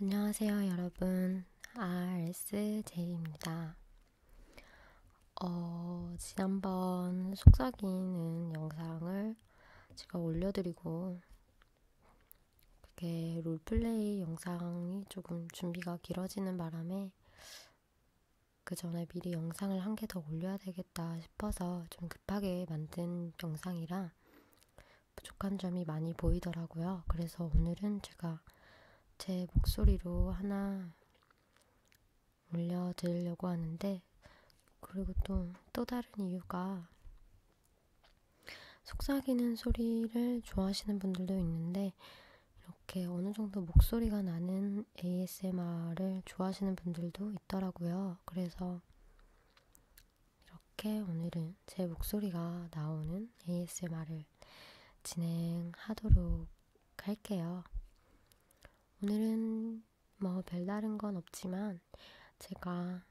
안녕하세요, 여러분. RSJ입니다. 어, 지난번 속삭이는 영상을 제가 올려드리고, 그게 롤플레이 영상이 조금 준비가 길어지는 바람에 그 전에 미리 영상을 한 개 더 올려야 되겠다 싶어서 좀 급하게 만든 영상이라 부족한 점이 많이 보이더라고요. 그래서 오늘은 제가 제 목소리로 하나 올려드리려고 하는데, 그리고 또, 또 다른 이유가, 속삭이는 소리를 좋아하시는 분들도 있는데, 이렇게 어느 정도 목소리가 나는 ASMR을 좋아하시는 분들도 있더라고요. 그래서 이렇게 오늘은 제 목소리가 나오는 ASMR을 진행하도록 할게요. 오늘은 뭐 별다른 건 없지만 제가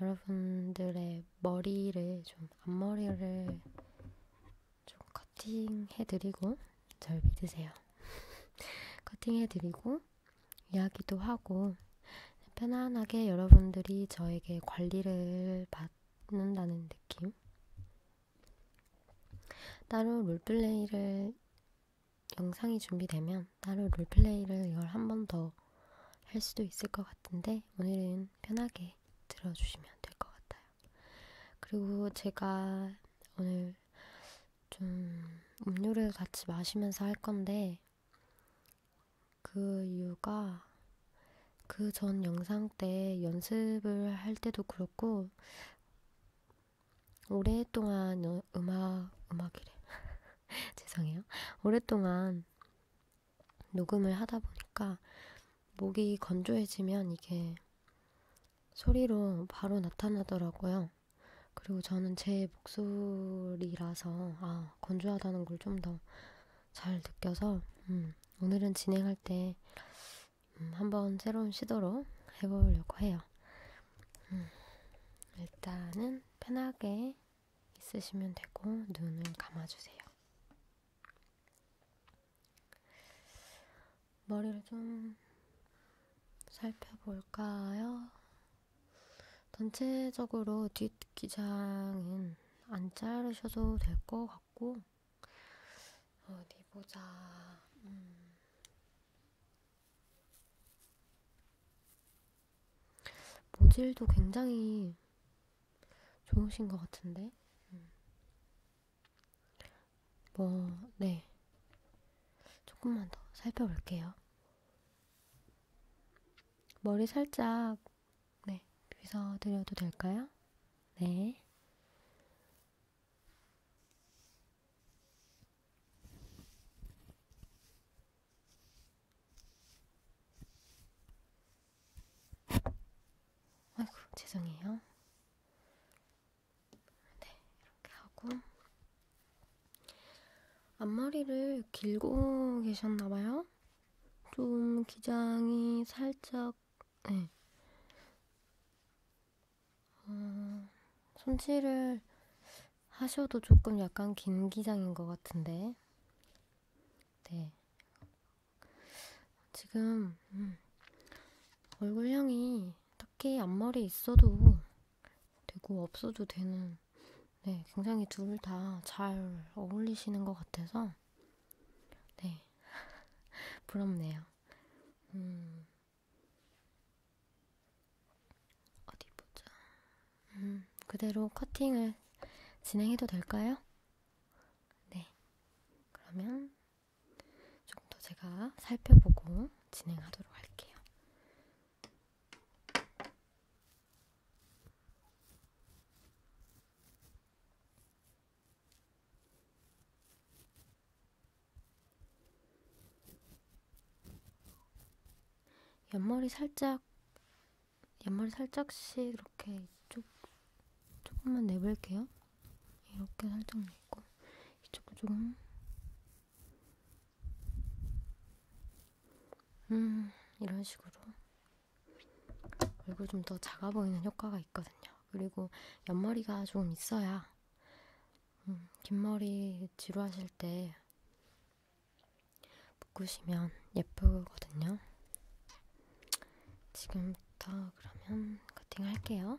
여러분들의 머리를 좀 앞머리를 좀 커팅해드리고 절 믿으세요. 커팅해드리고 이야기도 하고 편안하게 여러분들이 저에게 관리를 받는다는 느낌? 따로 롤플레이를 영상이 준비되면 따로 롤플레이를 이걸 한 번 더 할 수도 있을 것 같은데 오늘은 편하게 들어주시면 될 것 같아요. 그리고 제가 오늘 좀 음료를 같이 마시면서 할 건데, 그 이유가 그 전 영상 때 연습을 할 때도 그렇고, 오랫동안 여, 음악, 음악이래. 죄송해요. 오랫동안 녹음을 하다 보니까 목이 건조해지면 이게 소리로 바로 나타나더라고요. 그리고 저는 제 목소리라서 아, 건조하다는 걸 좀 더 잘 느껴서 음, 오늘은 진행할 때 음, 한번 새로운 시도로 해보려고 해요. 음, 일단은 편하게 있으시면 되고 눈을 감아주세요. 머리를 좀 살펴볼까요? 전체적으로 뒷기장은 안 자르셔도 될 것 같고, 어디 보자. 음. 모질도 굉장히 좋으신 것 같은데? 음. 뭐, 네. 조금만 더 살펴볼게요. 머리 살짝, 네, 빗어드려도 될까요? 네. 아이고, 죄송해요. 네, 이렇게 하고 앞머리를 길고 계셨나봐요. 좀 기장이 살짝, 네. 어, 손질을 하셔도 조금 약간 긴 기장인 것 같은데, 네. 지금 음, 얼굴형이 딱히 앞머리 있어도 되고 없어도 되는 네, 굉장히 둘 다 잘 어울리시는 것 같아서 네, 부럽네요. 음, 어디 보자. 음, 그대로 커팅을 진행해도 될까요? 네, 그러면 좀더 제가 살펴보고 진행하도록 할게요. 옆머리 살짝 옆머리 살짝씩 이렇게 조, 조금만 내볼게요. 이렇게 살짝 내고 이쪽도 조금 음 이런 식으로 얼굴 좀 더 작아 보이는 효과가 있거든요. 그리고 옆머리가 조금 있어야 음, 긴 머리 지루하실 때 묶으시면 예쁘거든요. 지금부터 그러면 커팅할게요.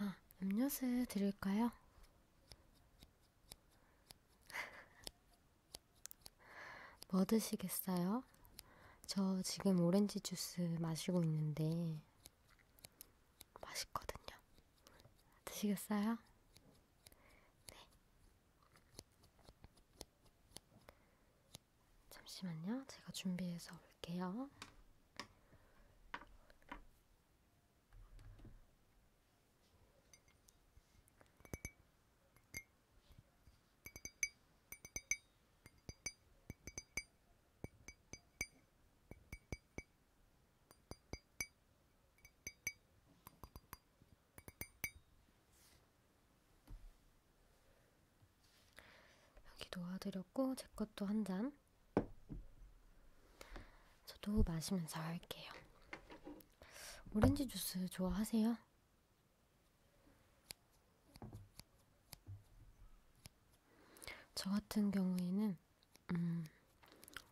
아, 음료수 드릴까요? 뭐 드시겠어요? 저 지금 오렌지 주스 마시고 있는데 맛있거든요. 드시겠어요? 네. 잠시만요. 제가 준비해서 올게요. 여기 놓아드렸고 제 것도 한 잔. 저도 마시면서 할게요. 오렌지 주스 좋아하세요? 저 같은 경우에는 음,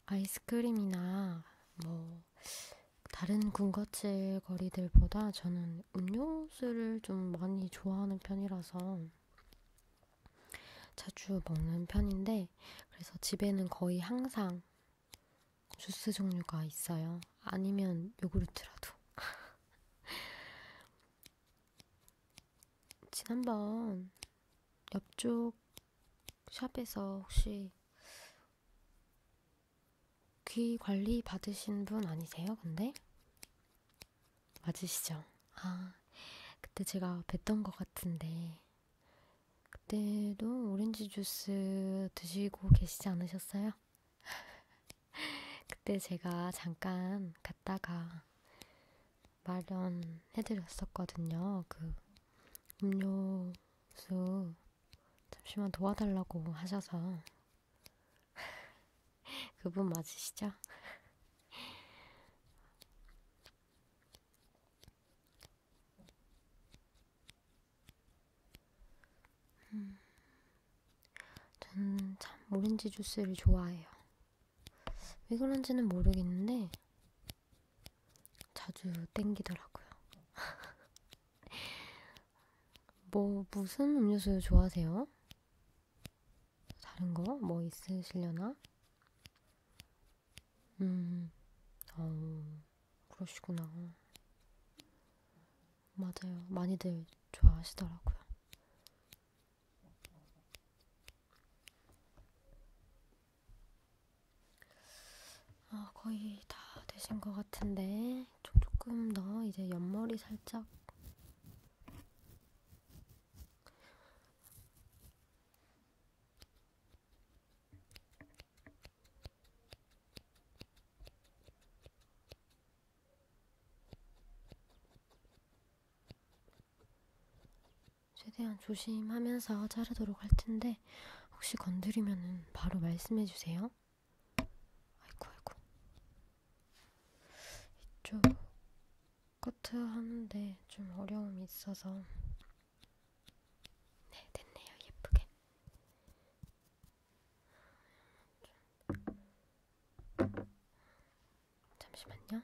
아이스크림이나 뭐 다른 군것질거리들보다 저는 음료수를 좀 많이 좋아하는 편이라서 자주 먹는 편인데 그래서 집에는 거의 항상 주스 종류가 있어요. 아니면 요구르트라도. 지난번 옆쪽 샵에서 혹시 귀 관리 받으신 분 아니세요? 근데 맞으시죠? 아 그때 제가 뵀던 것 같은데 그때도 오렌지 주스 드시고 계시지 않으셨어요? 그때 제가 잠깐 갔다가 마련해드렸었거든요. 그 음료수 잠시만 도와달라고 하셔서 그분 맞으시죠? 음, 저는 참 오렌지 주스를 좋아해요. 왜 그런지는 모르겠는데 자주 땡기더라고요. 뭐 무슨 음료수 좋아하세요? 다른 거 뭐 있으시려나? 음, 어, 그러시구나. 맞아요. 많이들 좋아하시더라고요. 아, 거의 다 되신 것 같은데 조금 더 이제 옆머리 살짝 최대한 조심하면서 자르도록 할 텐데 혹시 건드리면은 바로 말씀해 주세요. 아이고 아이고. 이쪽 커트 하는데 좀 어려움이 있어서 네 됐네요 예쁘게. 잠시만요.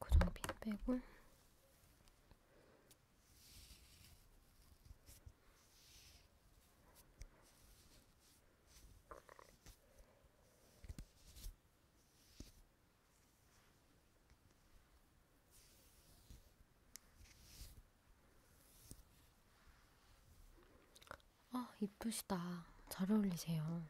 고정핀 빼고 아, 이쁘시다. 잘 어울리세요.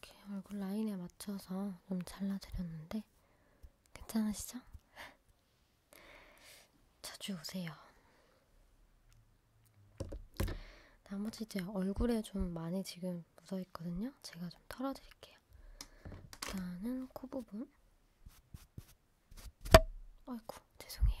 이렇게 얼굴 라인에 맞춰서 좀 잘라드렸는데 괜찮으시죠? 자주 오세요. 나머지 이제 얼굴에 좀 많이 지금 묻어있거든요. 제가 좀 털어드릴게요. 일단은 코 부분. 아이고, 죄송해요.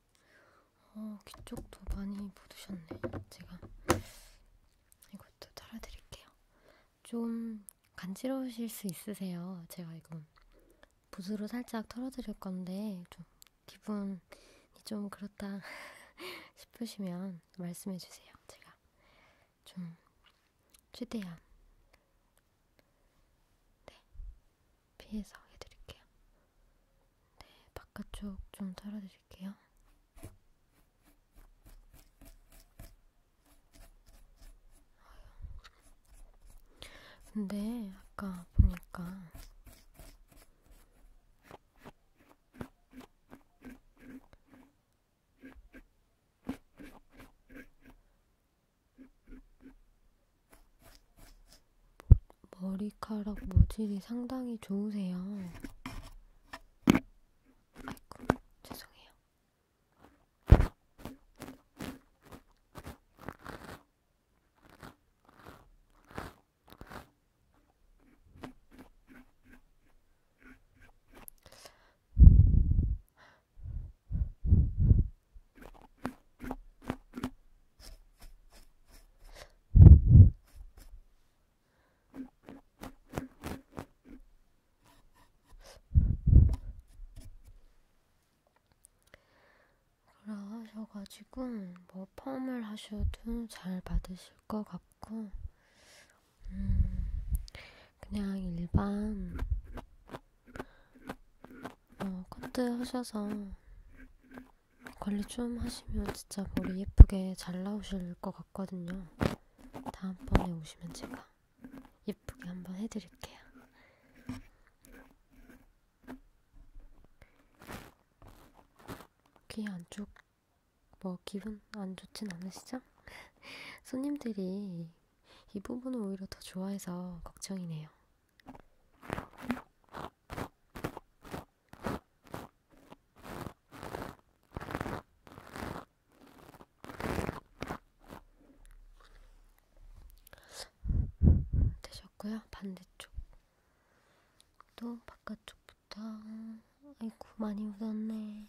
어, 귀 쪽도 많이 묻으셨네. 제가 이것도 털어드릴게요. 좀 간지러우실 수 있으세요. 제가 이거 붓으로 살짝 털어드릴 건데 좀 기분이 좀 그렇다 싶으시면 말씀해주세요. 제가 좀 최대한 네 피해서 해드릴게요. 네, 바깥쪽 좀 털어드릴게요. 근데 아까 보니까 머리카락 모질이 상당히 좋으세요. 아이고, 죄송해요. 그러 하셔가지고 뭐 펌을 하셔도 잘 받으실 것 같고 음 그냥 일반 어, 뭐 커트 하셔서 관리 좀 하시면 진짜 머리 예쁘게 잘 나오실 것 같거든요. 다음번에 오시면 제가 예쁘게 한번 해드릴게요. 귀 안쪽 뭐 기분 안 좋진 않으시죠? 손님들이 이 부분을 오히려 더 좋아해서 걱정이네요. 되셨고요. 반대쪽 또 바깥쪽부터 아이고 많이 묻었네.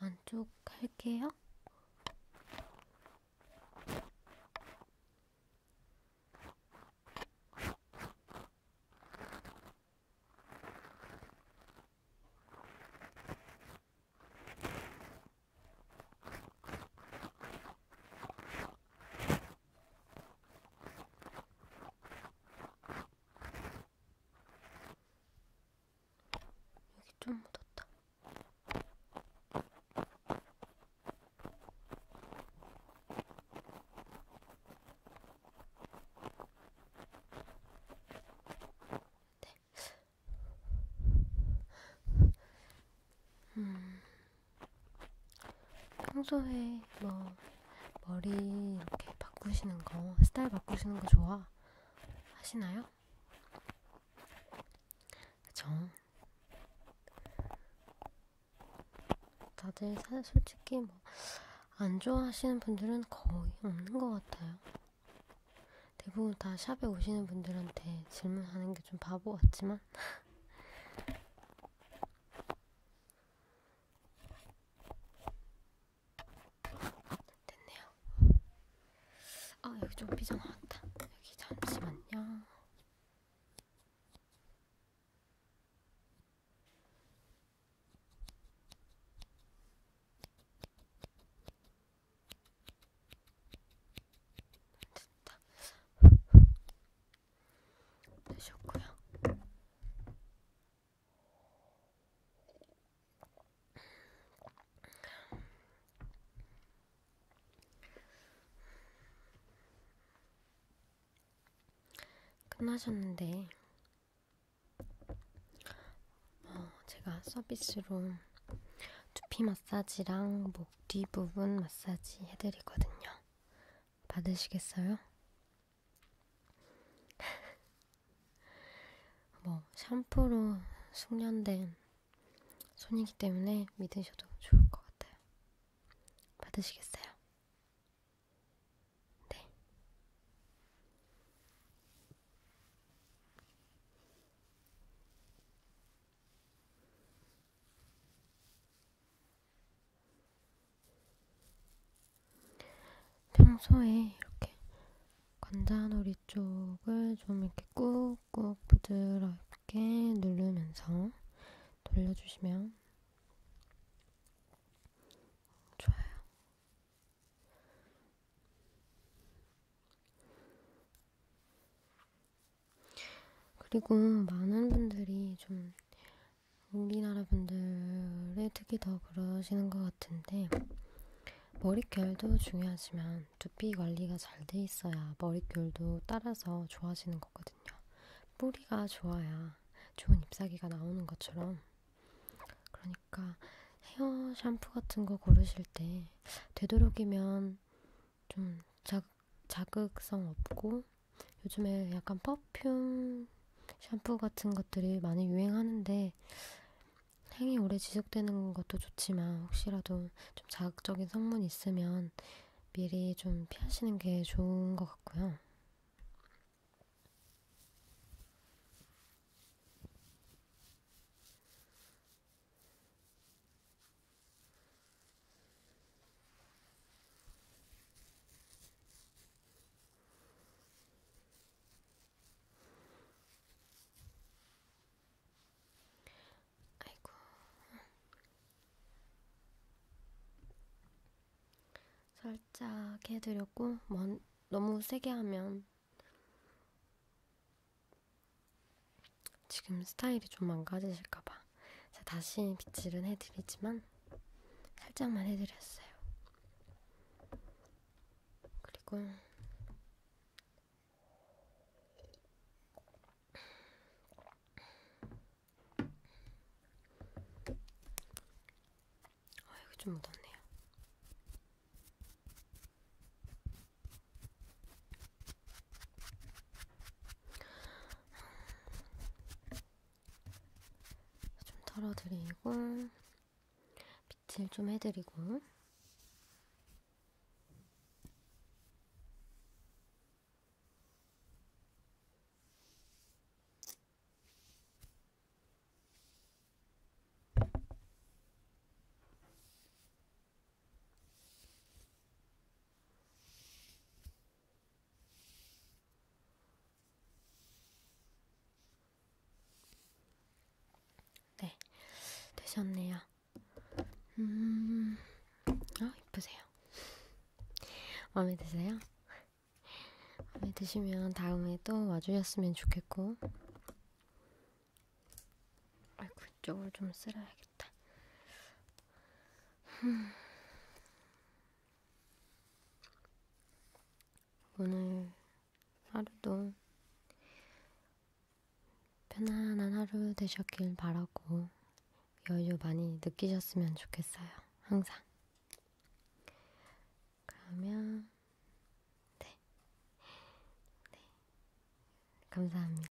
안쪽 할게요. 여기 좀 묻었다. 네, 음, 평소에 뭐 머리 이렇게 바꾸시는 거, 스타일 바꾸시는 거 좋아 하시나요? 그쵸? 다들 사실 솔직히 뭐 안 좋아하시는 분들은 거의 없는 것 같아요. 대부분 다 샵에 오시는 분들한테 질문하는 게 좀 바보 같지만 됐네요. 아 여기 좀 삐져 나왔다. 여기 잠시만요. 진짜 되셨고요. 끝나셨는데 어, 제가 서비스로 두피 마사지랑 목 목뒤 부분 마사지 해드리거든요. 받으시겠어요? 뭐 샴푸로 숙련된 손이기 때문에 믿으셔도 좋을 것 같아요. 받으시겠어요? 네. 평소에 이렇게 관자놀이 쪽을 좀 이렇게 꾹꾹 부드럽게 누르면서 돌려주시면 좋아요. 그리고 많은 분들이 좀 우리나라 분들의 특히 더 그러시는 것 같은데 머릿결도 중요하지만 두피 관리가 잘 돼 있어야 머릿결도 따라서 좋아지는 거거든요. 뿌리가 좋아야 좋은 잎사귀가 나오는 것처럼 그러니까 헤어 샴푸 같은 거 고르실 때 되도록이면 좀 자, 자극성 없고 요즘에 약간 퍼퓸 샴푸 같은 것들이 많이 유행하는데 향이 오래 지속되는 것도 좋지만 혹시라도 좀 자극적인 성분이 있으면 미리 좀 피하시는 게 좋은 것 같고요. 아이고, 살짝 해드렸고, 먼, 너무 세게 하면 지금 스타일이 좀 망가지실까봐 제가 다시 빗질은 해드리지만 살짝만 해드렸어요. 그리고 아, 여기 좀 묻었네요. 좀 털어드리고 빗질 좀 해드리고 네, 되셨네요. 음, 어, 이쁘세요. 마음에 드세요? 마음에 드시면 다음에 또 와주셨으면 좋겠고. 아이고, 그쪽을 좀 쓸어야겠다. 오늘 하루도 편안한 하루 되셨길 바라고 여유 많이 느끼셨으면 좋겠어요. 항상. 그러면 네. 네. 감사합니다.